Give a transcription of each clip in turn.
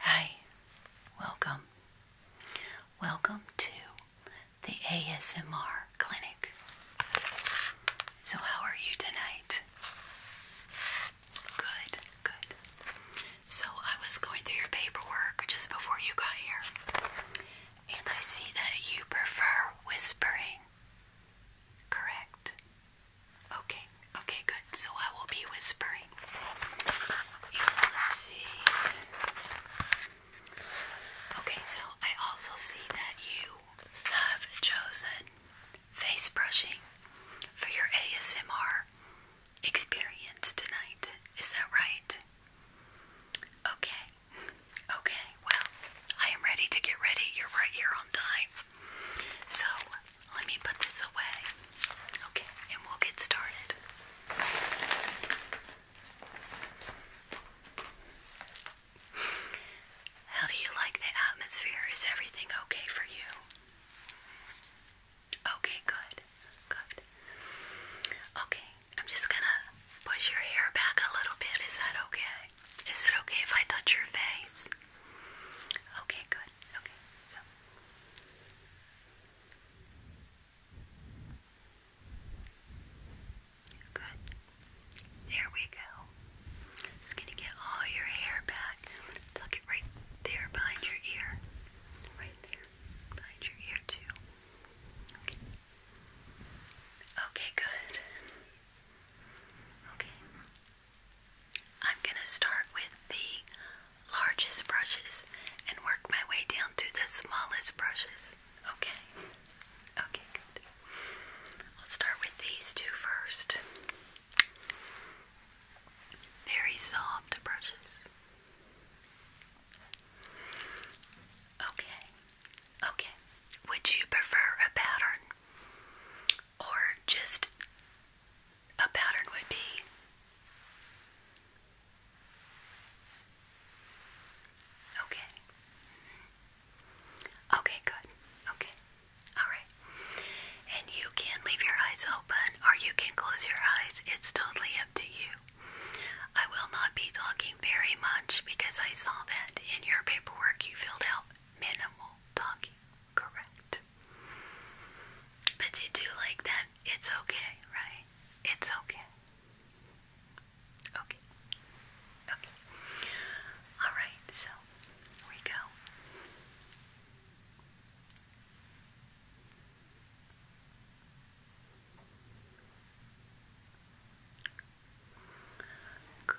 Hi, welcome. Welcome to the ASMR clinic. So, how are you tonight? Good, good. So, I was going through your paperwork just before you got here, and I see that you prefer whispering, correct? Okay, okay, good. So I will be whispering. You see. Okay, so I also see that you have chosen face brushing for your ASMR experience tonight. Is that right? Okay. Okay, well, I am ready to get ready. You're right here on time. So let me put this away. Okay, and we'll get started. How do you like the atmosphere? Is everything okay for you? Okay, good. Good. Okay, I'm just gonna push your hair back a little bit. Is that okay? Is it okay if I touch your face? Okay, good. Okay, so there we go. It's going to get all your hair back. Tuck it right there behind your ear. Right there. Behind your ear, too. Okay. Okay, good. Okay. I'm going to start with the largest brushes and work my way down to the smallest brushes. Okay? Okay, good. I'll start with these two first. Very soft brushes. Okay. Okay. Would you prefer a pattern or just a pattern would be. Okay. Okay, good. Okay. Alright. And you can leave your eyes open or you can close your eyes. It's totally up to you. I will not be talking very much because I saw that in your paperwork you filled out minimal talking. Correct. But you do like that. It's okay, right? It's okay. Okay. Okay. Alright, so here we go. Good.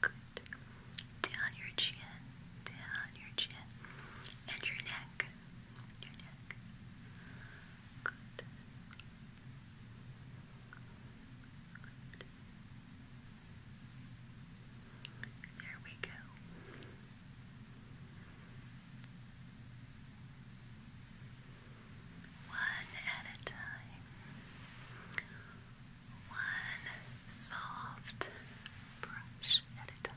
Good. Down your chin, down your chin, and your neck, your neck. Good. Good. There we go. One at a time one soft brush at a time.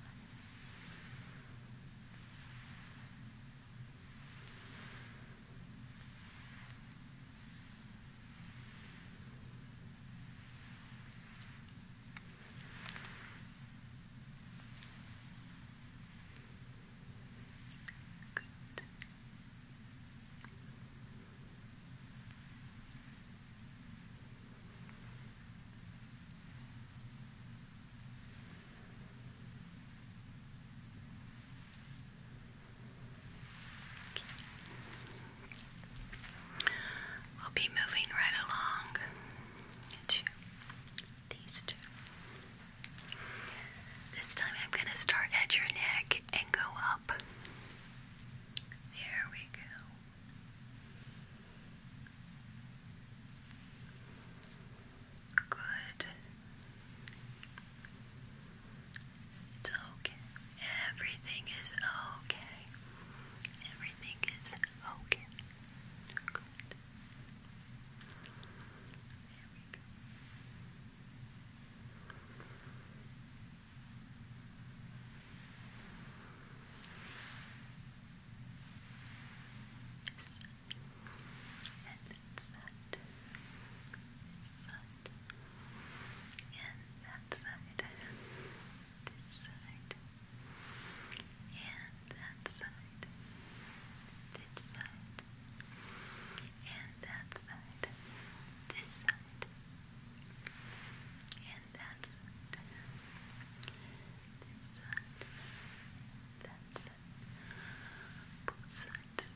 Good. We'll be moving right along to these two. This time I'm going to start at your neck and go up. There we go. Good. It's, okay. Everything is okay. Everything is okay. Good. There we go. Yes. And that's that. This side. And that side. This side. And that side. This side. And that side. This that. And that's This side. That's it. Both sides.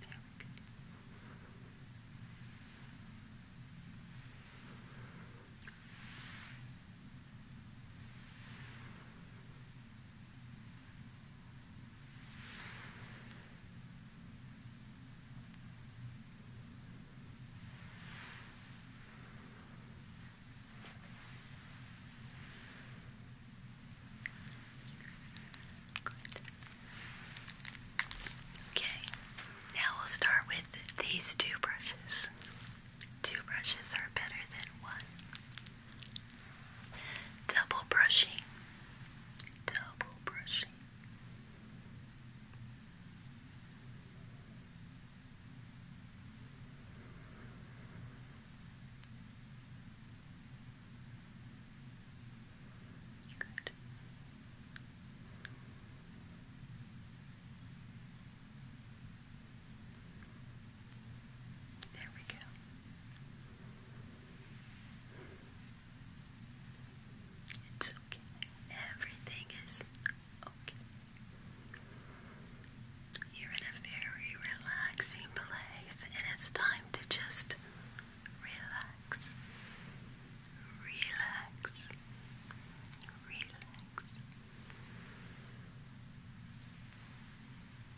There we go. Okay, now we'll start with these two brushes. Two brushes are better than one double brushing, double brushing. Good. There we go. It's okay. Everything is okay. You're in a very relaxing place, and it's time to just relax. Relax. Relax.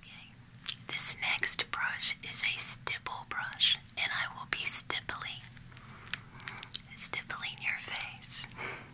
Okay. This next brush is a stipple brush, and I will be stippling, stippling your face.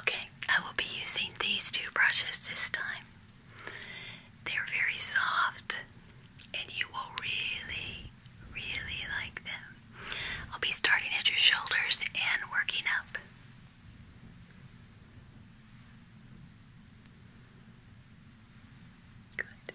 Okay, I will be using these two brushes this time. They're very soft and you will really, really like them. I'll be starting at your shoulders and working up. Good.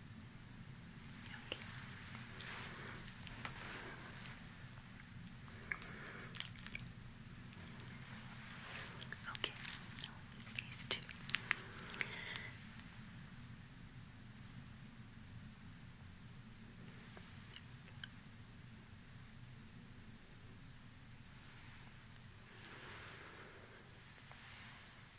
Okay. Okay, now with these two. Okay.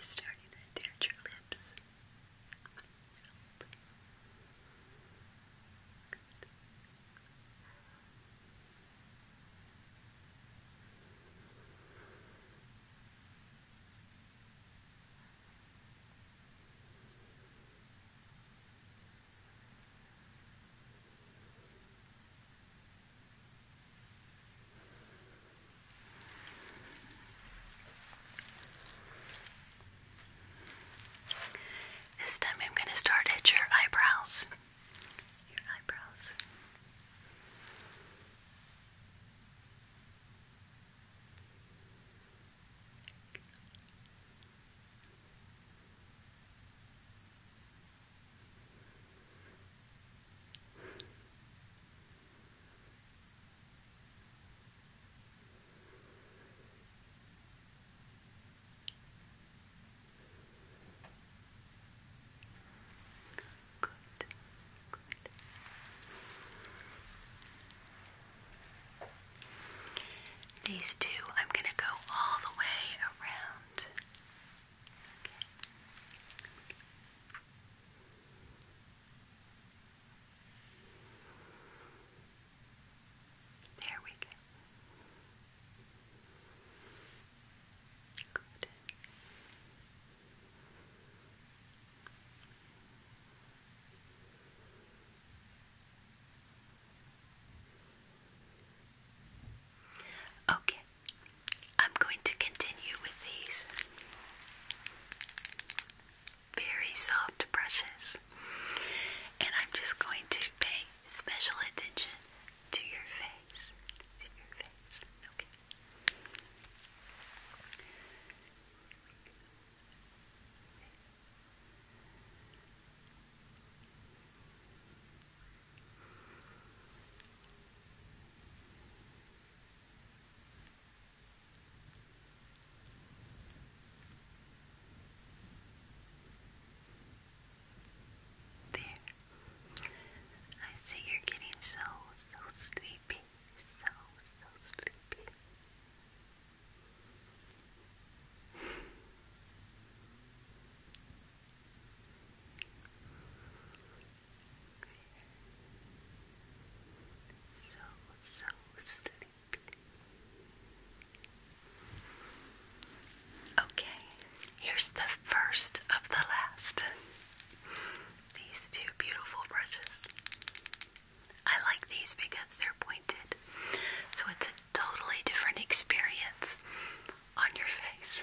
starting to at your lips. This time I'm going to start at your eyebrows. These two, I'm going to go all the way around. There we go. Good. Okay, I'm going to continue with these very soft brushes, and I'm just going to pay special attention to your face. There. I see you're getting so, so sleepy. So, so sleepy. So, so sleepy. Okay, here's the first of the last. These two beautiful brushes. I like these because they're pointed, so it's a totally different experience on your face.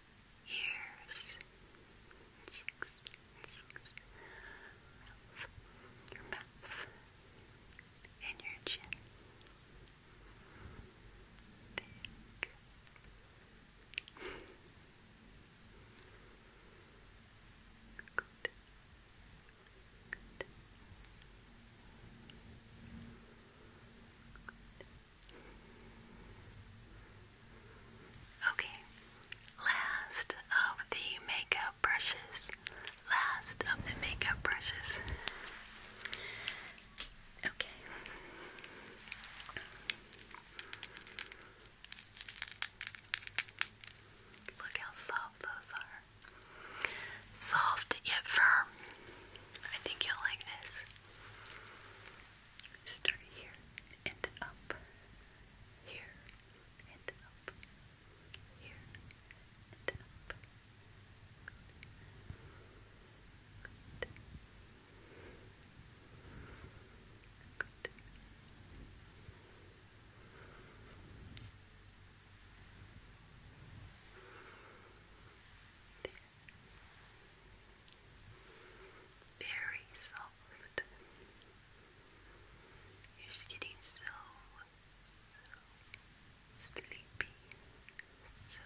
ears, cheeks, cheeks, mouth, your mouth, and your chin. Good. Good. Good. Okay, last of the makeup brushes. Last of the makeup brushes. Okay. Look how soft those are. Soft yet firm. I think you'll like this. Start here and up, here and up, here and up. Good. Good. Very soft. You're just getting so, sleepy. So,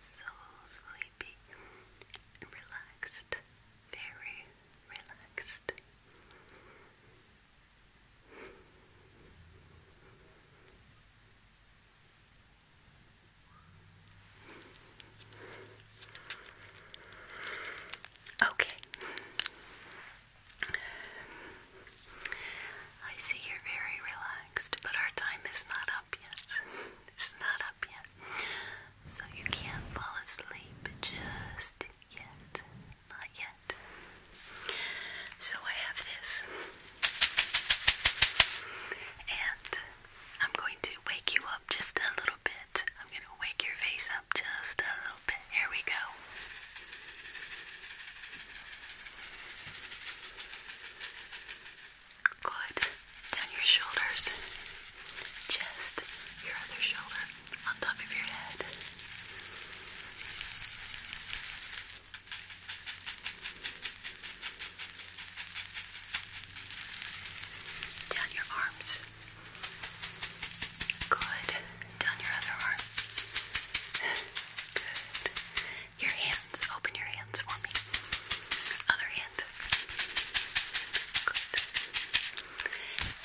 so sleepy. Relaxed. Very relaxed. Okay. I see you're very relaxed, but our time is not up yet. It's not up yet. So you can't fall asleep just yet. Not yet. So I have this. And I'm going to wake you up just a little bit. I'm going to wake your face up just a little bit. Here we go. Good. Down your shoulders. Chest. Your other shoulder. On top of your head. Down your arms. Good. Down your other arm. Good. Your hands. Open your hands for me. Other hand. Good.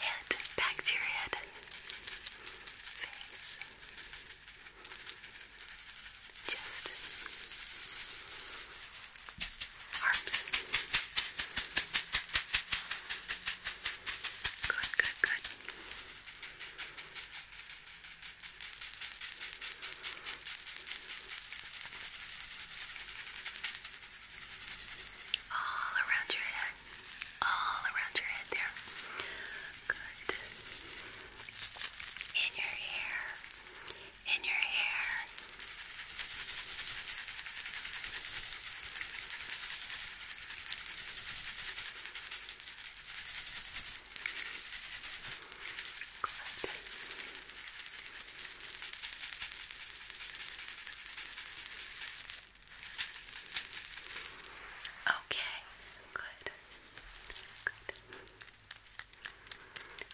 Head. Back to your head. Face. Chest arms. Good, good, good. All around your head. All around your head there. Good. In your hair in your hair. Okay, good. Good.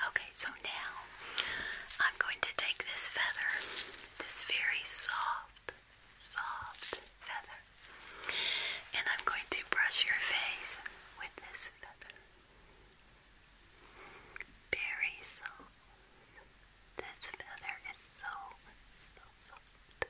Okay, so now I'm going to take this feather, this very soft, soft feather, and I'm going to brush your face with this feather. Very soft. This feather is so, so soft. Good.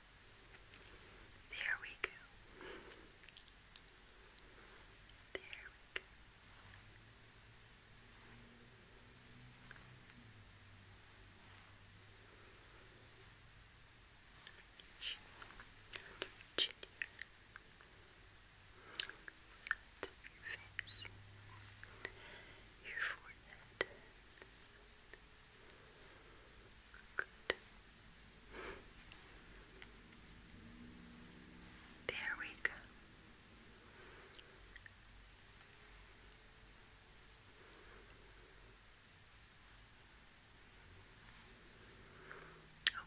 There we go. There we go. Chin, chin here. your face. Your forehead. There we go.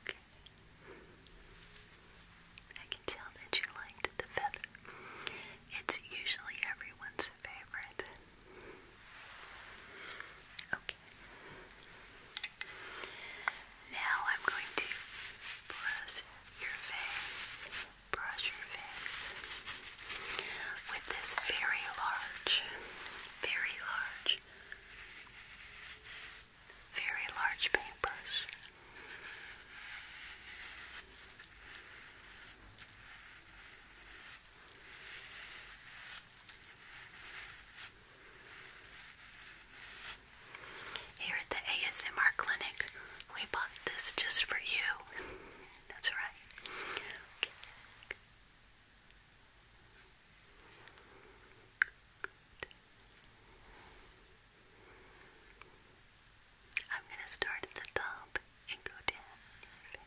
Okay. I can tell that you liked the feather. It's usually everyone's favorite. Okay. Now I'm going to brush your face, brush your face with this very large, very large, very large paintbrush. Here at the ASMR clinic, we bought this just for you. That's right. I'm going to start at the top and go down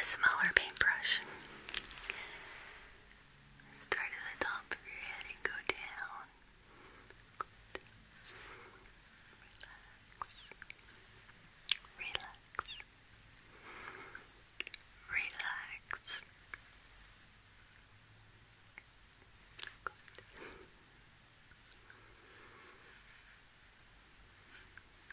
a smaller paintbrush. Start at the top of your head and go down. Relax. Relax. Relax.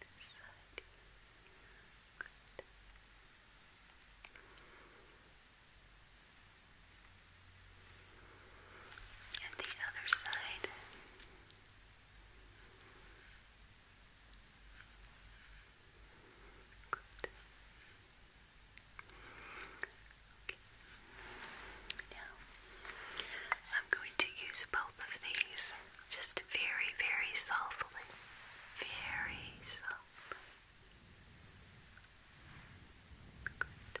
This side. And the other side. Good. Okay. Now I'm going to use both of these just very, very softly. Very softly. Good.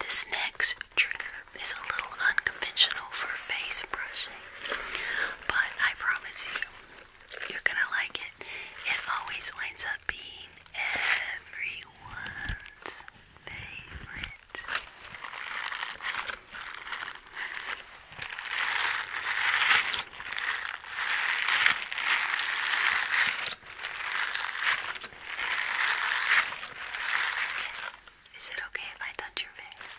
This next trigger is a little unconventional for face brushing, but I promise you, you're gonna like it. It always winds up being everyone's favorite. Is it okay if I touch your face?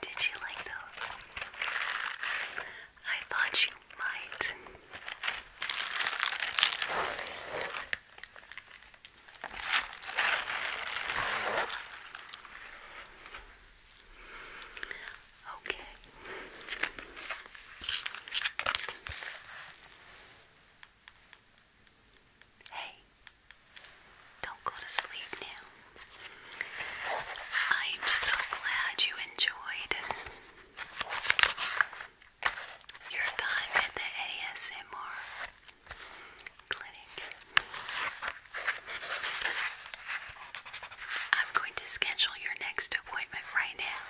Did you like those? I thought you might. Okay. Hey, don't go to sleep now. I am so glad you enjoyed your time at the ASMR clinic. I'm going to schedule your next appointment right now.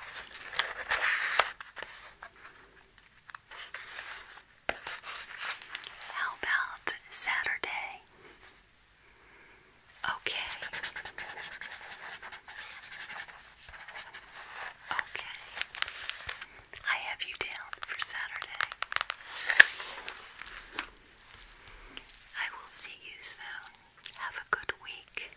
How about Saturday? Okay. Okay. I have you down for Saturday. I will see you soon. Have a good week.